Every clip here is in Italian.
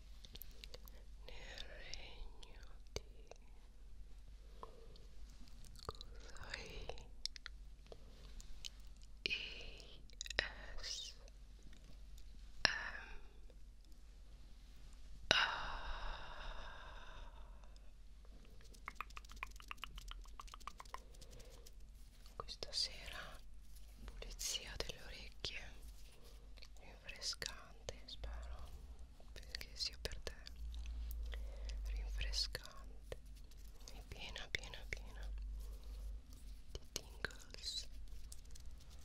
nel regno di Kusoi ISMR questa sera pulizia delle orecchie rinfrescante spero che sia per te rinfrescante piena piena piena di tingles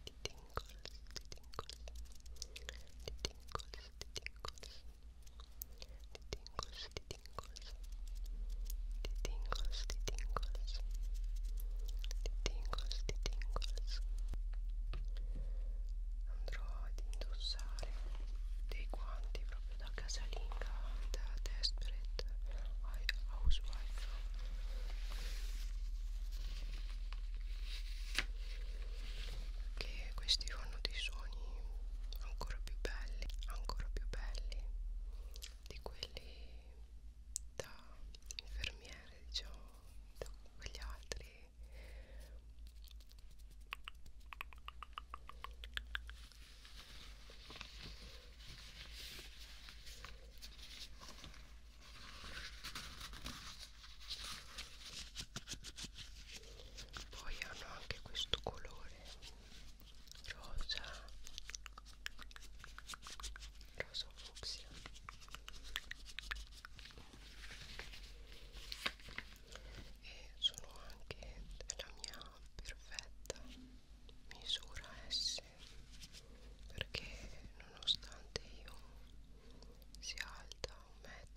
di tingles di tingles di tingles di tingles di tingles di tingles di tingles di tingles di tingles di tingles andrò ad indossare dei guanti proprio da casalinga da desperate housewife che questi fanno dei suoni ancora più belli ancora più belli di quelli da infermiere diciamo da quegli altri poi hanno anche questo colore rosa, rosa fucsia e sono anche la mia perfetta misura S perché nonostante io sia alta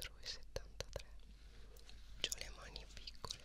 1,73 m ho le mani piccole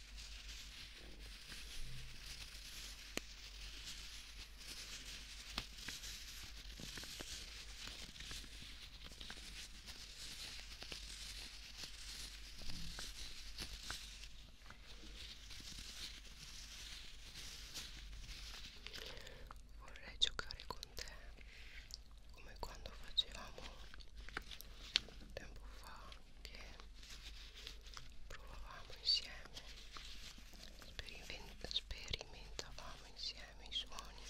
Vorrei giocare con te come quando facevamo tempo fa che provavamo insieme sperimentavamo insieme i suoni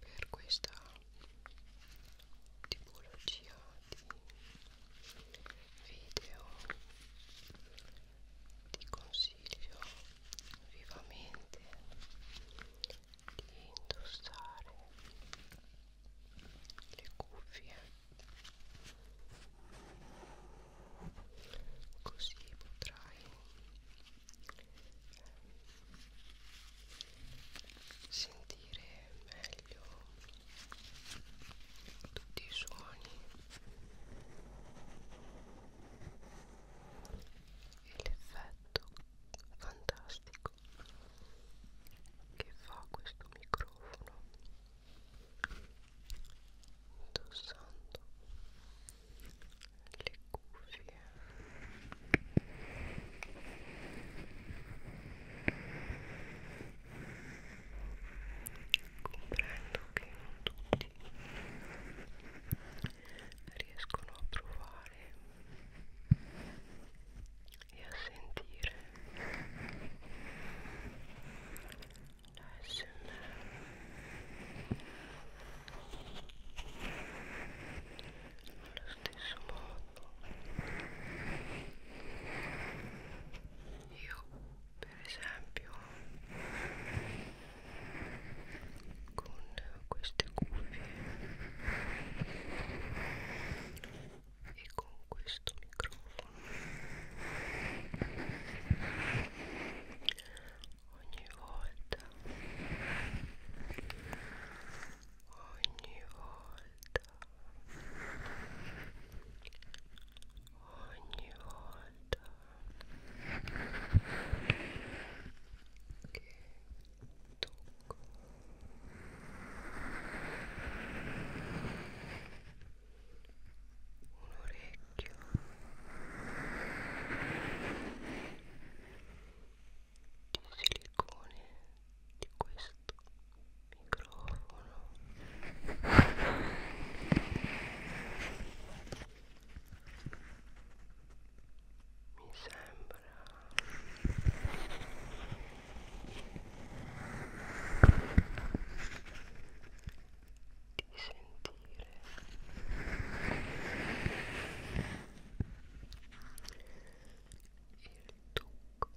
per questa tipologia di video ti consiglio vivamente di indossare le cuffie così potrai sentire meglio tutti i suoni e l'effetto fantastico che fa questo microfono indossando le cuffie comprendo che non tutti riescono a provare e a sentire la smr nello stesso modo io per esempio con queste cuffie e con questo microfono ogni volta ogni volta ogni volta che tocco un orecchio di silicone di questo microfono mi sembra di sentire il tocco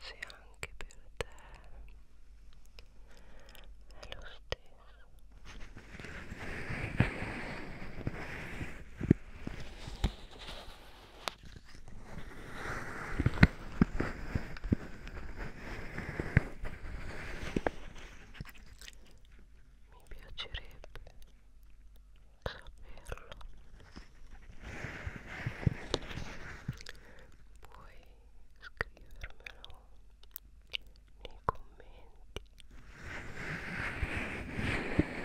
se anche per te è lo stesso mi piacerebbe saperlo puoi scrivermelo nei commenti però se hai troppo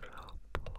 troppo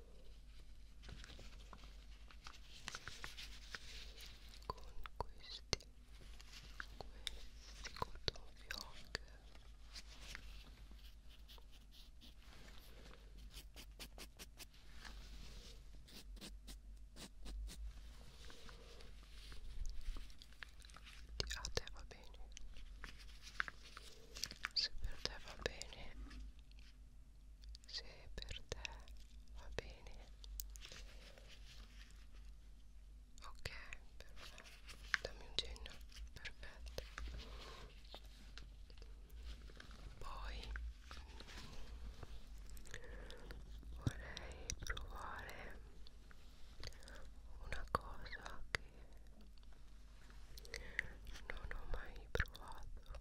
con questi questi cotton fioc a te va bene se per te va bene se per te va bene ok perfetto dammi un cenno perfetto poi vorrei provare una cosa che non ho mai provato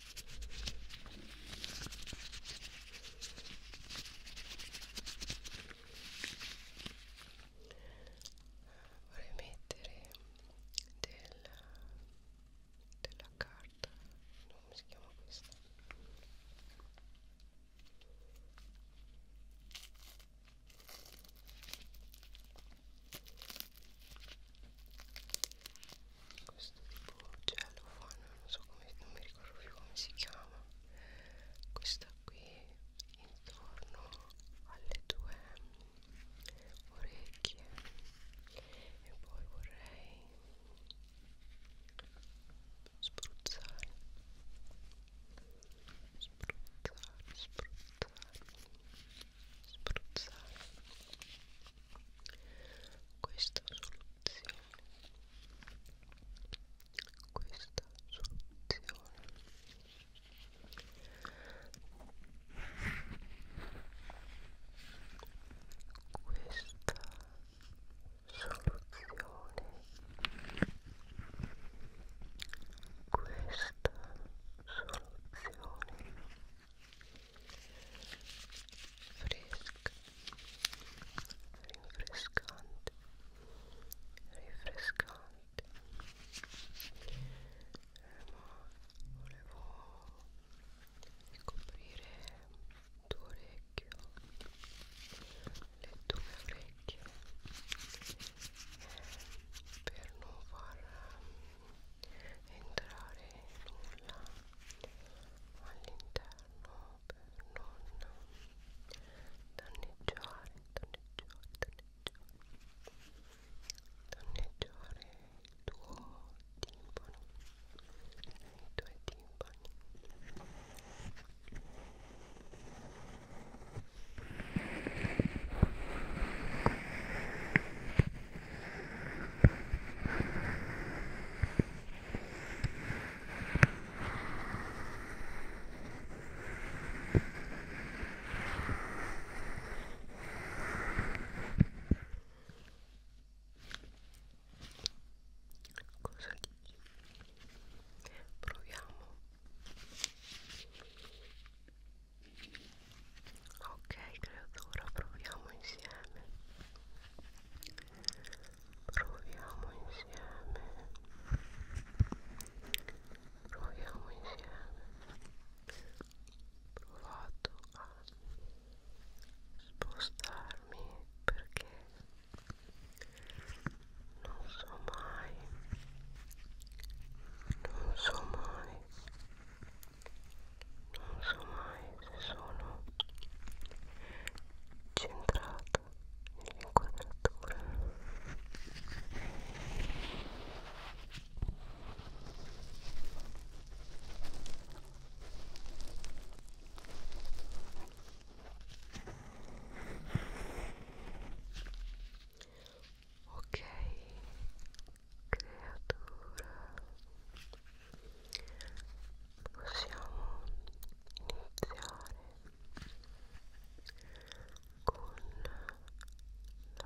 vorrei mettere della, della carta no, come si chiama questa questo tipo gelo cioè, fanno non so come non mi ricordo più come si chiama questa qui intorno alle due orecchie e poi vorrei spruzzare spruzzare spruzzare spruzzare questa soluzione questa soluzione questa soluzione questa soluzione fresca rinfrescante rinfrescante eh, ma volevo ricoprire il tuo orecchio le tue orecchie eh, per non far entrare nulla all'interno per non danneggiare, danneggiare, danneggiare, danneggiare il tuo timpano, i tuoi timpani. Ora Cosa dici? Proviamo. Ok, creatura, proviamo insieme proviamo insieme proviamo insieme provato a spostarmi perché non so mai non so mai non so mai se sono centrata nell'inquadratura Ok, creatura possiamo iniziare con la pulizia esterna con i cotton piocchi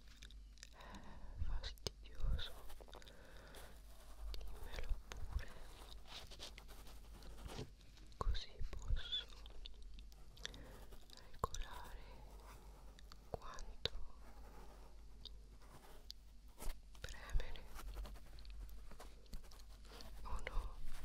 è fastidioso dimmelo pure così posso regolare quanto premere o no il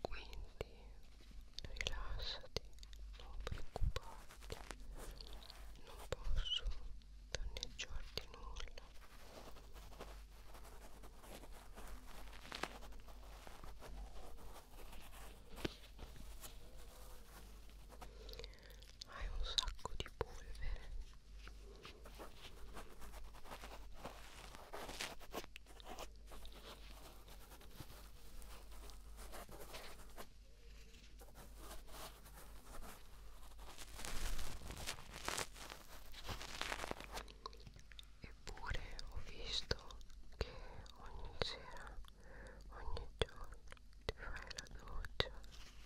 quindi rilassati non preoccuparti non posso danneggiarti nulla hai un sacco di polvere Eppure ho visto che ogni sera, ogni giorno ti fai la doccia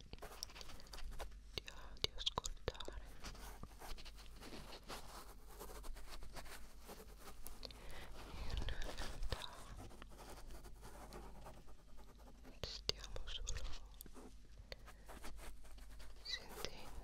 di, di ascoltare in realtà stiamo solo sentendo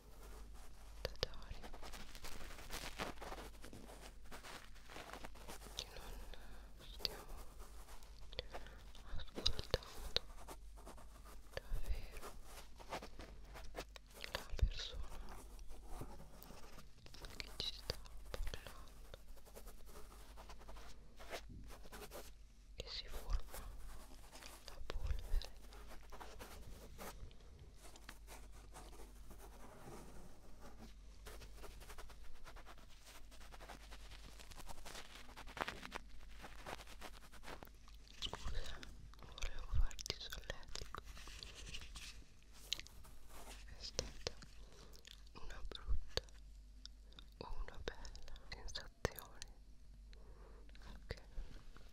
Totale che non stiamo ascoltando davvero la persona che ci sta parlando e si forma la polvere Scusa, volevo farti solletico. È stata una brutta o una bella sensazione. Ok.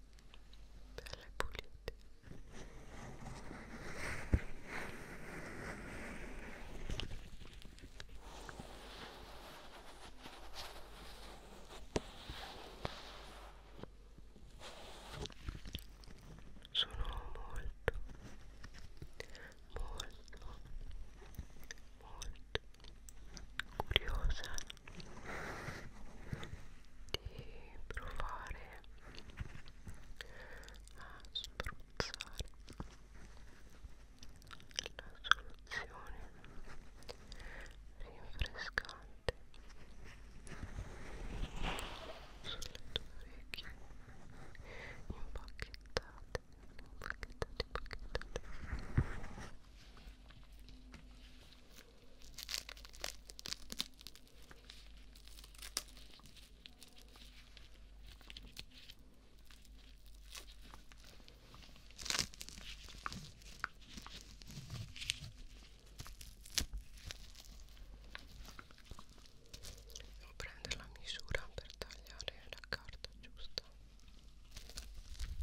pulite belle pulite sono molto molto molto curiosa di provare a spruzzare la soluzione rinfrescante sulle tue orecchie impacchettate impacchettate impacchettate Devo prendere la misura per tagliare la carta giusta. Okay.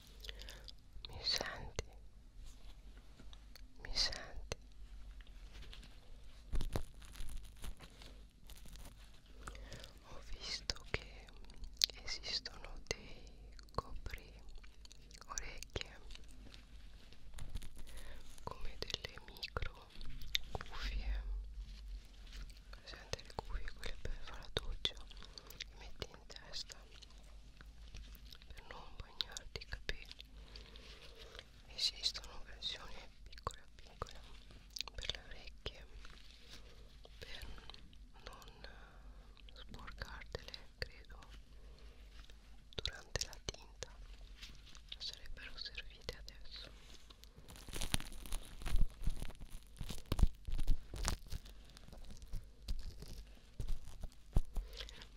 mi senti mi senti ho visto che esistono dei copri orecchie come delle micro cuffie presente le cuffie quelle per fare la doccia che metti in testa per non bagnarti i capelli esistono versioni piccola piccola per le orecchie per non sporcartele credo durante la tinta sarebbero servite adesso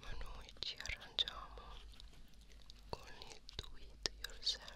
ma noi ci arrangiamo con il do it yourself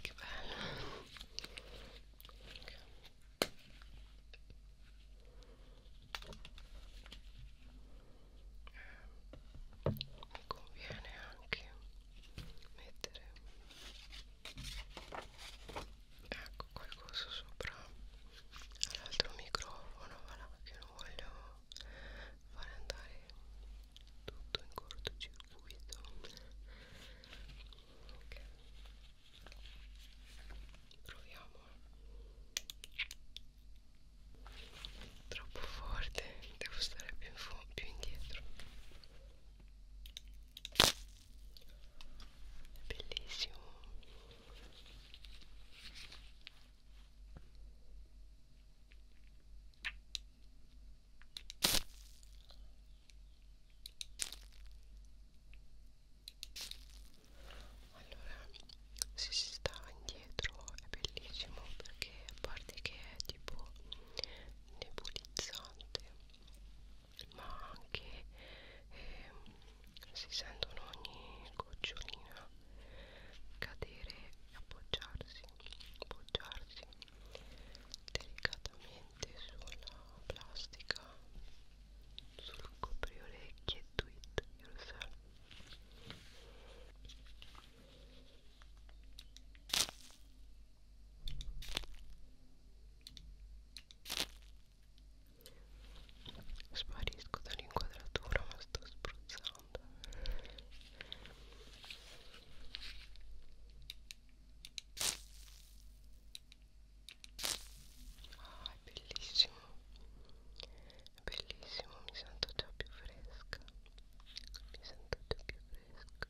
Che bello. Okay. Eh, mi conviene anche mettere ecco qualcosa sopra l'altro microfono voilà, che non voglio fare andare tutto in cortocircuito ok proviamo troppo forte devo stare più, in più indietro è bellissimo allora se si sta indietro è bellissimo perché a parte che è tipo nebulizzante ma anche eh, si sentono ogni gocciolina cadere e appoggiarsi, appoggiarsi delicatamente sulla plastica, sul copriorecchi e tweet, io lo so sparisco dall'inquadratura ma sto spruzzando ah è bellissimo è bellissimo mi sento già più fresca mi sento già più fresca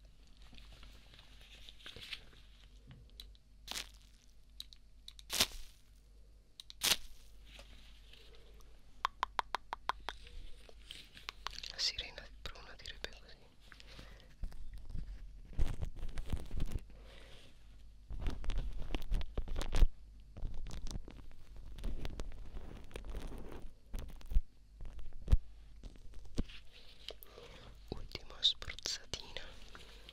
la sirena di Bruna direbbe così. Ultima spruzzatina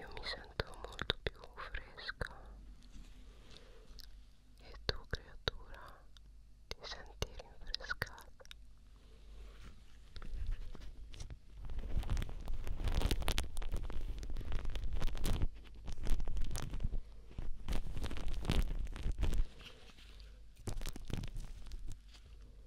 io mi sento molto più fresca e tu creatura ti senti rinfrescata Io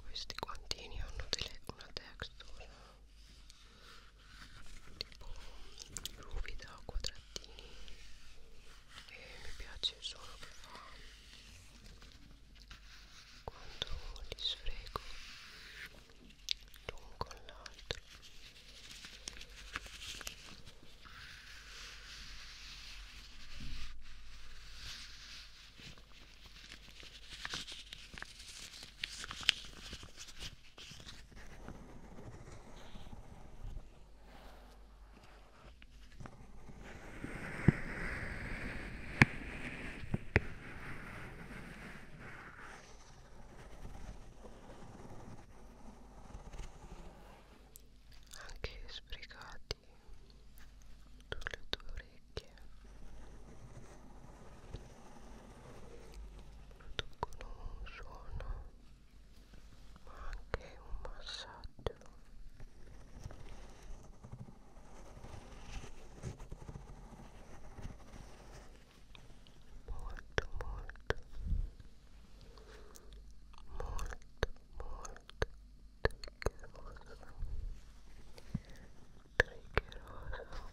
Questi quantini hanno una textura tipo ruvida a quadratini e mi piace il suono che fa quando li sfrego l'un con l'altro anche sbrigati sulle tue orecchie producono un suono ma anche un massaggio molto molto molto molto triggeroso triggeroso